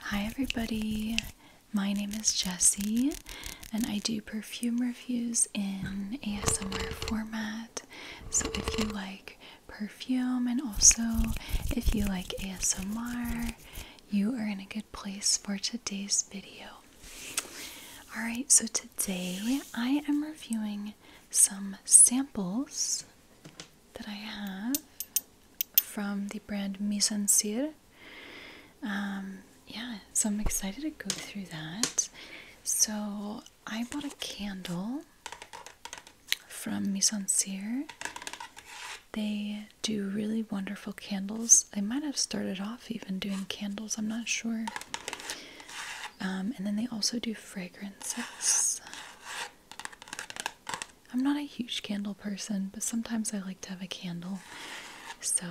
Hi, everybody. My name is Jessie, and I do perfume reviews in ASMR format. So, if you like perfume and also if you like ASMR, you are in a good place for today's video. Alright, so today I am reviewing some samples that I have from the brand Mise en Um, yeah, so I'm excited to go through that. So I bought a candle from Mise en They do really wonderful candles. They might have started off even doing candles, I'm not sure. Um, and then they also do fragrances. I'm not a huge candle person, but sometimes I like to have a candle. So,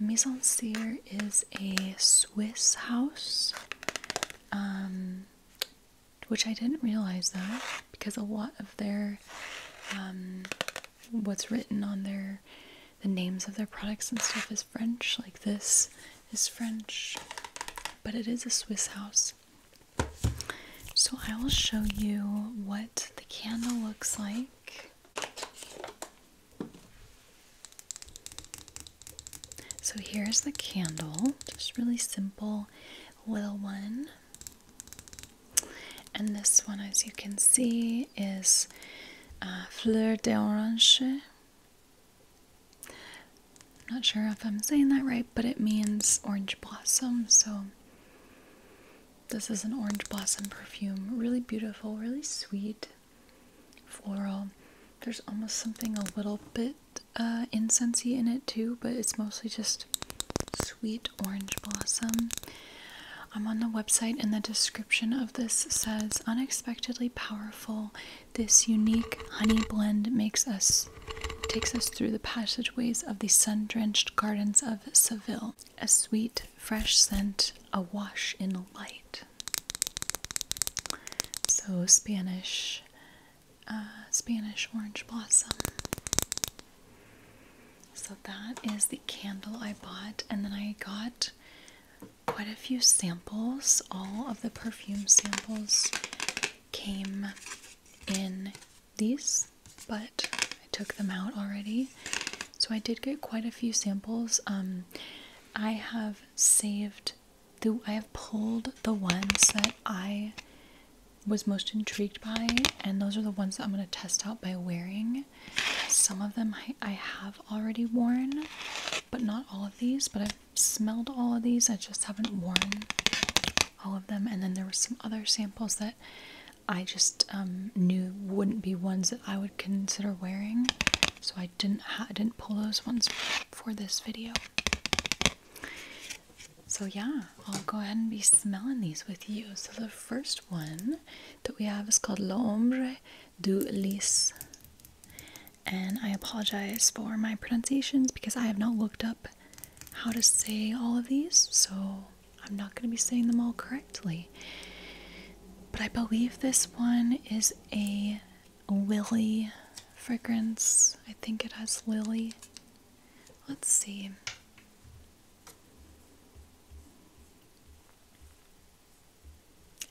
Maison Seer is a Swiss house, um, which I didn't realize though, because a lot of their, um, what's written on their, the names of their products and stuff is French. Like this is French, but it is a Swiss house. So I will show you what the candle looks like. So here's the candle, just really simple little one. And this one, as you can see, is uh, Fleur d'Orange. I'm not sure if I'm saying that right, but it means orange blossom. So this is an orange blossom perfume. Really beautiful, really sweet, floral. There's almost something a little bit uh, incensey in it too, but it's mostly just sweet orange blossom. I'm on the website, and the description of this says unexpectedly powerful. This unique honey blend makes us takes us through the passageways of the sun-drenched gardens of Seville, a sweet, fresh scent awash in light. So Spanish, uh, Spanish orange blossom. So that is the candle I bought, and then I got quite a few samples. All of the perfume samples came in these, but I took them out already. So I did get quite a few samples. Um, I have saved the, I have pulled the ones that I was most intrigued by, and those are the ones that I'm going to test out by wearing. Some of them I, have already worn, but not all of these, but I've smelled all of these. I just haven't worn all of them. And then there were some other samples that I just um, knew wouldn't be ones that I would consider wearing, so I didn't I didn't pull those ones for this video. So yeah, I'll go ahead and be smelling these with you. So the first one that we have is called L'ombre du Lys. And I apologize for my pronunciations because I have not looked up how to say all of these. So I'm not going to be saying them all correctly. But I believe this one is a lily fragrance. I think it has lily. Let's see.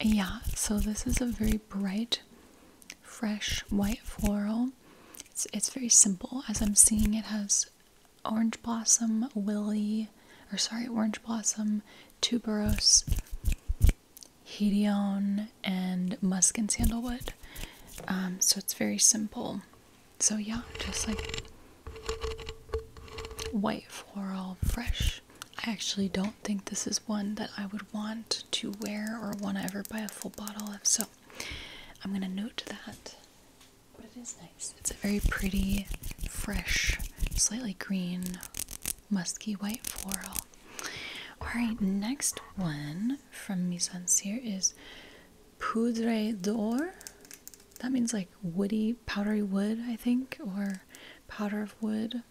Yeah, so this is a very bright, fresh white floral. It's, it's very simple. As I'm seeing, it has Orange Blossom, Willy, or sorry, Orange Blossom, Tuberose, Hedione, and Musk and Sandalwood. Um, so it's very simple. So yeah, just like white floral fresh. I actually don't think this is one that I would want to wear or want to ever buy a full bottle of, so I'm gonna note that. But it is nice. It's a very pretty, fresh, slightly green, musky white floral. Alright, next one from Mise en is Poudre d'Or. That means like woody, powdery wood, I think, or powder of wood.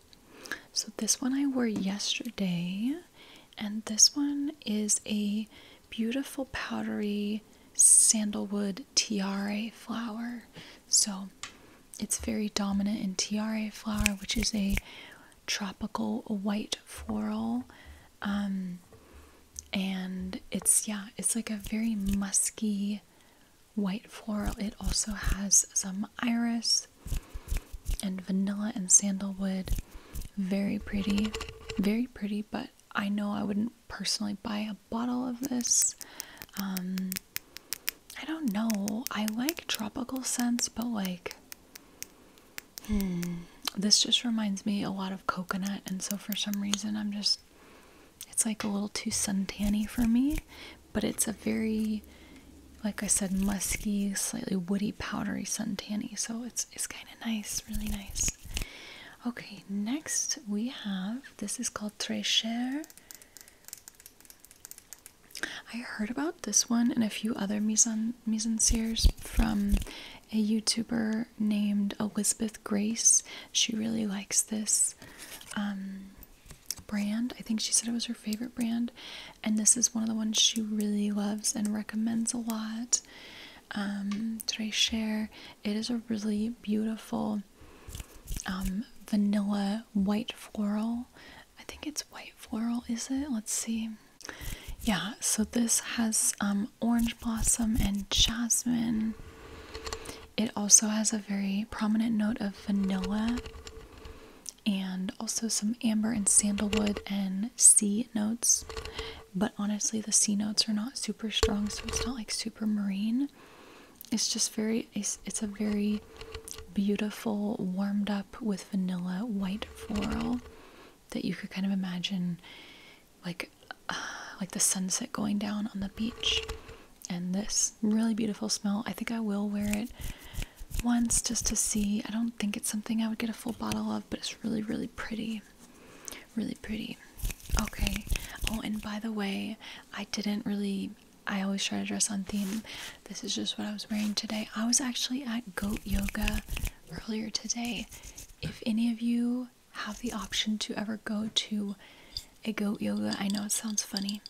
So this one I wore yesterday, and this one is a beautiful powdery sandalwood tiare flower. So it's very dominant in tiare flower, which is a tropical white floral. Um, and it's, yeah, it's like a very musky white floral. It also has some iris and vanilla and sandalwood. Very pretty, very pretty, but I know I wouldn't personally buy a bottle of this. Um, I don't know. I like tropical scents, but like, hmm, this just reminds me a lot of coconut. And so for some reason, I'm just, it's like a little too suntanny for me. But it's a very, like I said, musky, slightly woody, powdery suntanny. So it's, it's kind of nice, really nice. Okay, next we have this is called Tréchère. I heard about this one and a few other mise en, mise from a YouTuber named Elizabeth Grace. She really likes this um, brand. I think she said it was her favorite brand, and this is one of the ones she really loves and recommends a lot um, that I share. It is a really beautiful um, vanilla white floral. I think it's white floral, is it? Let's see. Yeah, so this has um, orange blossom and jasmine. It also has a very prominent note of vanilla and also some amber and sandalwood and sea notes but honestly the C notes are not super strong so it's not like super marine it's just very it's, a very beautiful warmed up with vanilla white floral that you could kind of imagine like uh, like the sunset going down on the beach and this really beautiful smell i think i will wear it once just to see i don't think it's something i would get a full bottle of but it's really really pretty really pretty. Okay. Oh, and by the way, I didn't really. I always try to dress on theme. This is just what I was wearing today. I was actually at goat yoga earlier today. If any of you have the option to ever go to a goat yoga, I know it sounds funny,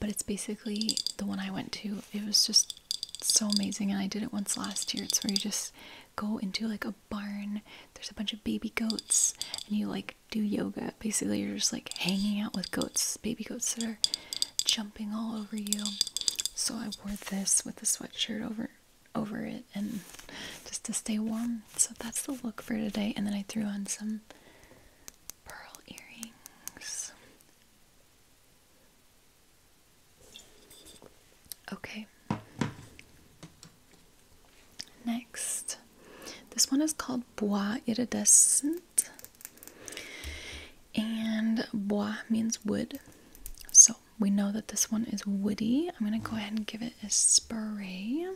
but it's basically the one I went to. It was just so amazing, and I did it once last year. It's where you just go into like a barn. There's a bunch of baby goats, and you like do yoga. Basically, you're just like hanging out with goats, baby goats that are jumping all over you. So I wore this with a sweatshirt over over it and just to stay warm. So that's the look for today. And then I threw on some pearl earrings. Okay. Next, this one is called Bois Iridescent, and Bois means wood, so we know that this one is woody. I'm gonna go ahead and give it a spray.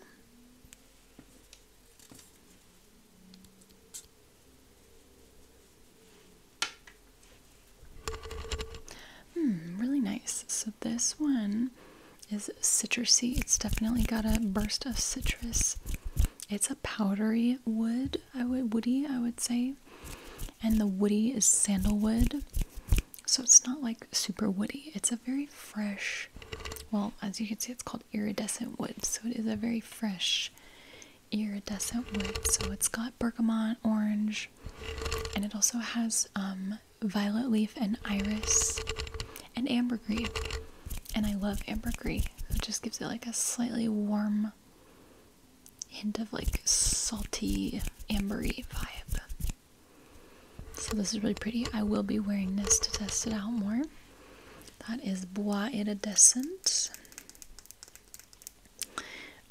Hmm, really nice. So this one is citrusy. It's definitely got a burst of citrus. It's a powdery wood, I would woody, I would say. And the woody is sandalwood. So it's not like super woody. It's a very fresh, well, as you can see, it's called iridescent wood. So it is a very fresh iridescent wood. So it's got bergamot, orange, and it also has um, violet leaf and iris and ambergris. And I love ambergris. It just gives it like a slightly warm hint of like salty ambery vibe. So this is really pretty. I will be wearing this to test it out more. That is Bois Iridescent.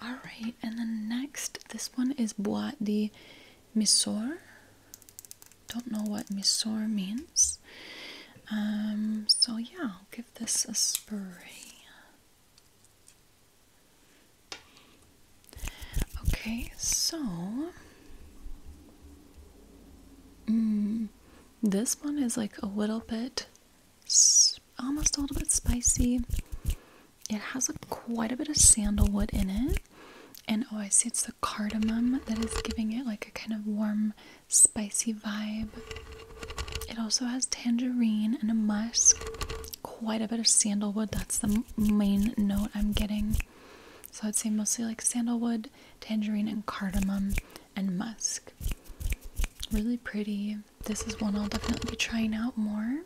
Alright, and then next, this one is Bois de Mysore. Don't know what Mysore means. Um, so yeah, I'll give this a spray. Okay, so mm, this one is like a little bit almost a little bit spicy. It has a, quite a bit of sandalwood in it. And oh, I see it's the cardamom that is giving it like a kind of warm, spicy vibe. It also has tangerine and a musk. Quite a bit of sandalwood. That's the main note I'm getting. So I'd say mostly like sandalwood, tangerine, and cardamom, and musk. Really pretty. This is one I'll definitely be trying out more.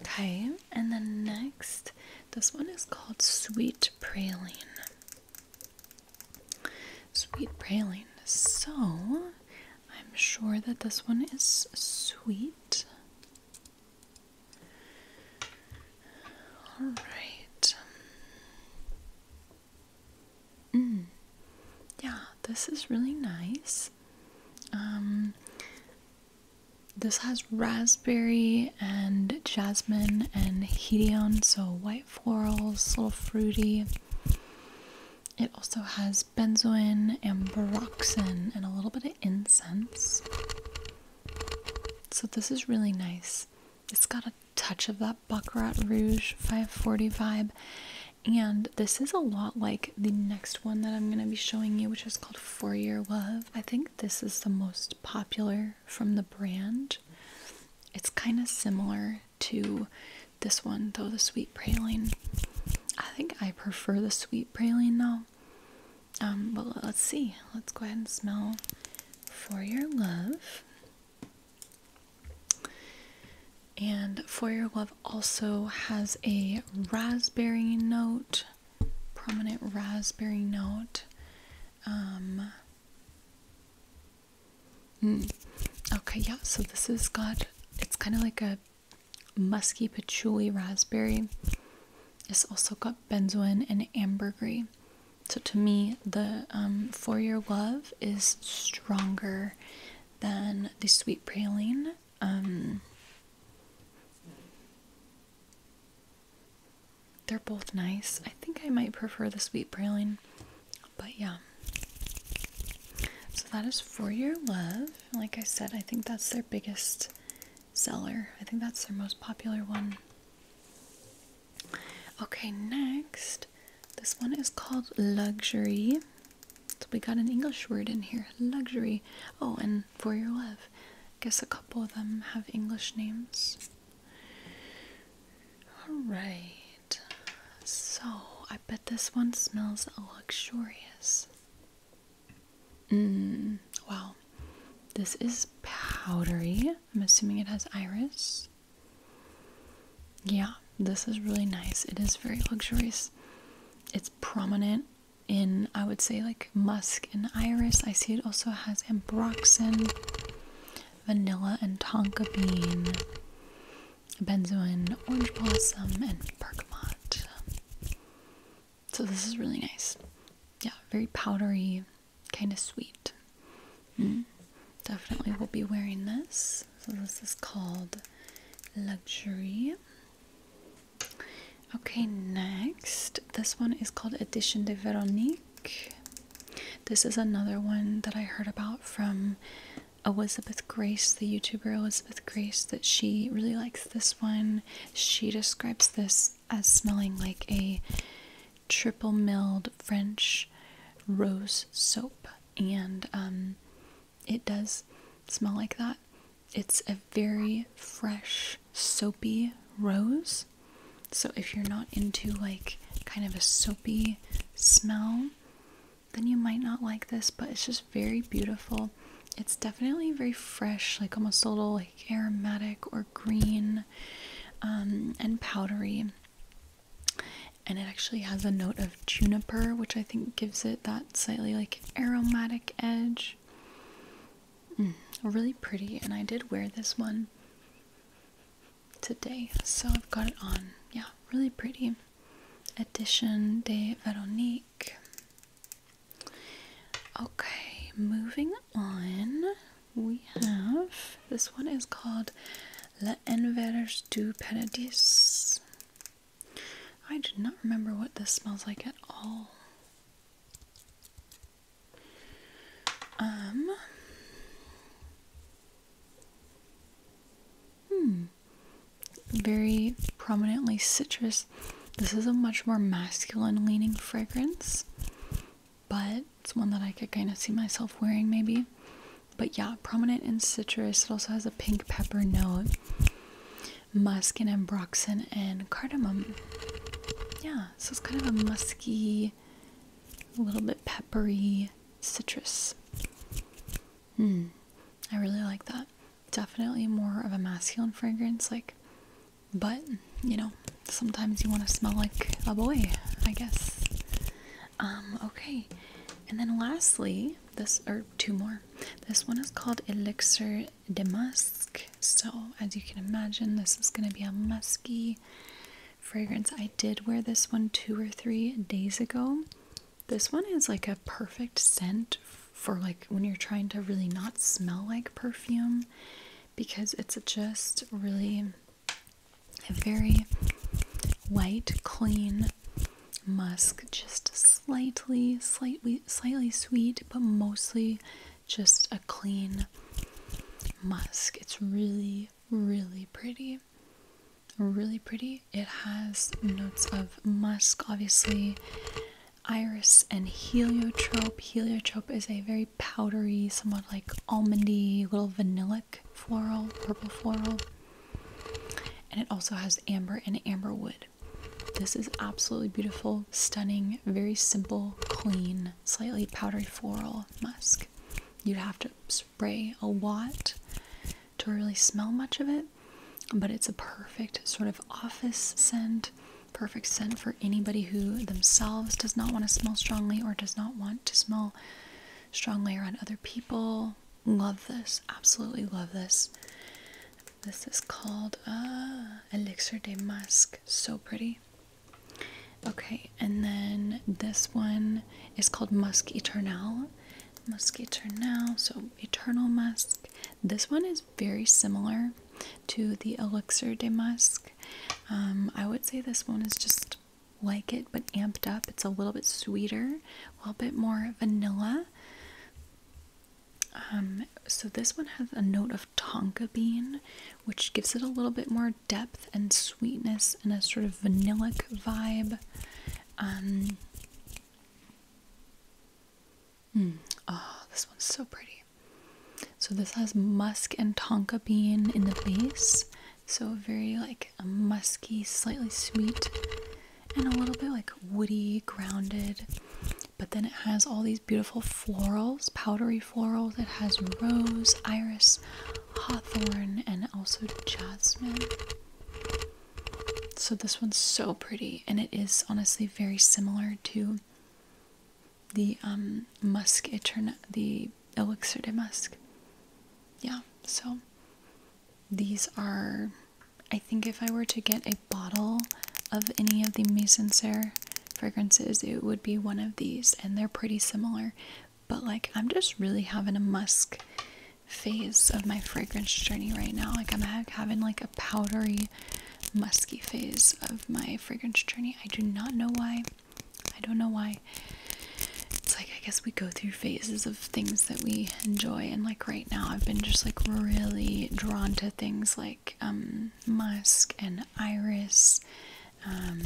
Okay, and then next, this one is called Sweet Praline. Sweet Praline. So, I'm sure that this one is sweet. All right. Mm. Yeah, this is really nice. Um, this has raspberry and jasmine and hedione, so white florals, little fruity. It also has benzoin and and a little bit of incense. So this is really nice. It's got a touch of that Baccarat Rouge 540 vibe. And this is a lot like the next one that I'm going to be showing you, which is called Four Year Love. I think this is the most popular from the brand. It's kind of similar to this one, though the sweet praline. I think I prefer the sweet praline though. Um, but let's see. Let's go ahead and smell for your love. And For Your Love also has a raspberry note, prominent raspberry note. Um, mm, okay, yeah, so this has got it's kind of like a musky patchouli raspberry. It's also got benzoin and ambergris. So to me, the um, For Your Love is stronger than the Sweet Praline. Um, they're both nice. I think I might prefer the sweet praline, but yeah. So that is For Your Love. Like I said, I think that's their biggest seller. I think that's their most popular one. Okay, next, this one is called Luxury. So we got an English word in here, luxury. Oh, and For Your Love guess a couple of them have English names. Alright, so I bet this one smells luxurious. Mmm, wow. This is powdery. I'm assuming it has iris. Yeah, this is really nice. It is very luxurious. It's prominent in I would say like musk and iris. I see it also has ambroxan, vanilla and tonka bean, benzoin, orange blossom, and bergamot. So this is really nice. Yeah, very powdery, kind of sweet. Mm-hmm. Definitely will be wearing this. So this is called Luxury. Okay, next, this one is called Edition de Veronique. This is another one that I heard about from Elizabeth Grace, the YouTuber Elizabeth Grace, that she really likes this one. She describes this as smelling like a triple milled French rose soap, and um, it does smell like that. It's a very fresh, soapy rose. So if you're not into like kind of a soapy smell, then you might not like this, but it's just very beautiful. It's definitely very fresh, like almost a little like aromatic or green um, and powdery. And it actually has a note of juniper, which I think gives it that slightly like aromatic edge. Mm, really pretty, and I did wear this one today, so I've got it on. Yeah, really pretty. Edition de Veronique. Okay, moving on. We have this one is called La Envers du Paradis. I do not remember what this smells like at all. Um. Hmm. Very prominently citrus. This is a much more masculine leaning fragrance, but it's one that I could kind of see myself wearing maybe. But yeah, prominent in citrus. It also has a pink pepper note, musk and ambroxan and cardamom. Yeah so it's kind of a musky, a little bit peppery citrus. Hmm, I really like that. Definitely more of a masculine fragrance, like, but you know, sometimes you want to smell like a boy, I guess. Um, okay, and then lastly, this or two more. This one is called Elixir the musk. So, as you can imagine, this is going to be a musky fragrance. I did wear this one two or three days ago. This one is like a perfect scent for like when you're trying to really not smell like perfume because it's just really a very white, clean musk, just slightly, slightly, slightly sweet, but mostly just a clean musk. It's really, really pretty. Really pretty. It has notes of musk, obviously, iris, and heliotrope. Heliotrope is a very powdery, somewhat like almondy, little vanillic floral, purple floral. And it also has amber and amber wood. This is absolutely beautiful, stunning, very simple, clean slightly powdery floral musk. You'd have to spray a lot to really smell much of it, but it's a perfect sort of office scent, perfect scent for anybody who themselves does not want to smell strongly or does not want to smell strongly around other people. Love this, absolutely love this. This is called uh, Elixir de Musk. So pretty. Okay, and then this one is called Musk Eternal. Musk Eternal, so Eternal Musk. This one is very similar to the Elixir de Musk. Um, I would say this one is just like it, but amped up. It's a little bit sweeter, a little bit more vanilla. Um, so this one has a note of tonka bean which gives it a little bit more depth and sweetness and a sort of vanillic vibe. Um, hmm, ah, this one's so pretty. So this has musk and tonka bean in the base. So very like a musky, slightly sweet, and a little bit like woody, grounded. But then it has all these beautiful florals, powdery florals. It has rose, iris, hawthorn, and also jasmine. So this one's so pretty, and it is honestly very similar to the um, musk eterna, the elixir de musk. Yeah, so these are, I think if I were to get a bottle of any of the Maison Serre fragrances, it would be one of these, and they're pretty similar. But like, I'm just really having a musk phase of my fragrance journey right now. Like, I'm having like a powdery, musky phase of my fragrance journey. I do not know why. I don't know why. It's like, I guess we go through phases of things that we enjoy, and like right now, I've been just like really drawn to things like um, musk and iris um,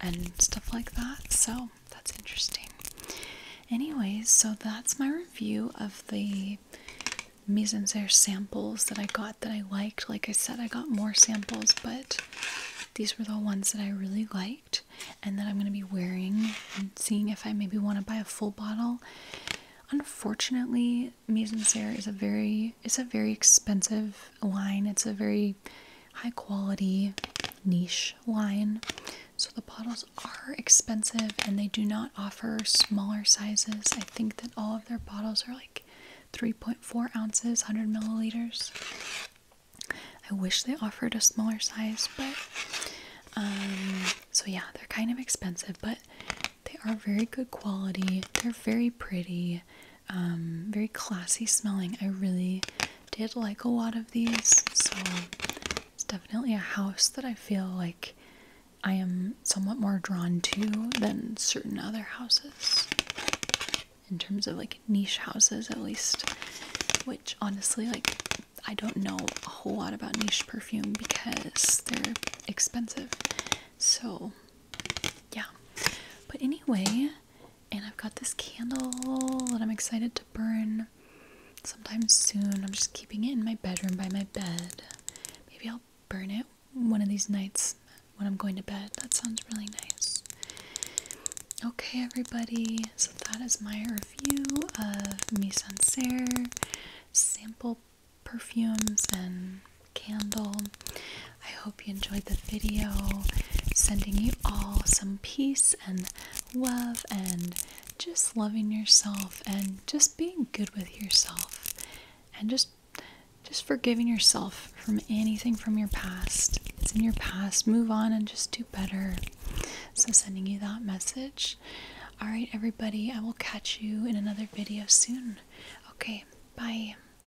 and stuff like that. So that's interesting. Anyways, so that's my review of the mise en serre samples that I got that I liked. Like I said, I got more samples, but these were the ones that I really liked and that I'm going to be wearing and seeing if I maybe want to buy a full bottle. Unfortunately, mise en serre is a very it's a very expensive wine. It's a very high quality niche wine. So the bottles are expensive and they do not offer smaller sizes. I think that all of their bottles are like 3.4 ounces, 100 milliliters. I wish they offered a smaller size, but um, so yeah, they're kind of expensive, but they are very good quality. They're very pretty. Um, very classy smelling. I really did like a lot of these, so it's definitely a house that I feel like I am somewhat more drawn to than certain other houses in terms of like niche houses, at least. Which honestly, like, I don't know a whole lot about niche perfume because they're expensive. So, yeah. But anyway, and I've got this candle that I'm excited to burn sometime soon. I'm just keeping it in my bedroom by my bed. Maybe I'll burn it one of these nights when I'm going to bed. That sounds really nice. Okay, everybody, so that is my review of Misancerre sample perfumes and candle. I hope you enjoyed the video. Sending you all some peace and love and just loving yourself and just being good with yourself and just just forgiving yourself from anything from your past. It's in your past. Move on and just do better. So sending you that message. All right, everybody, I will catch you in another video soon. Okay, bye.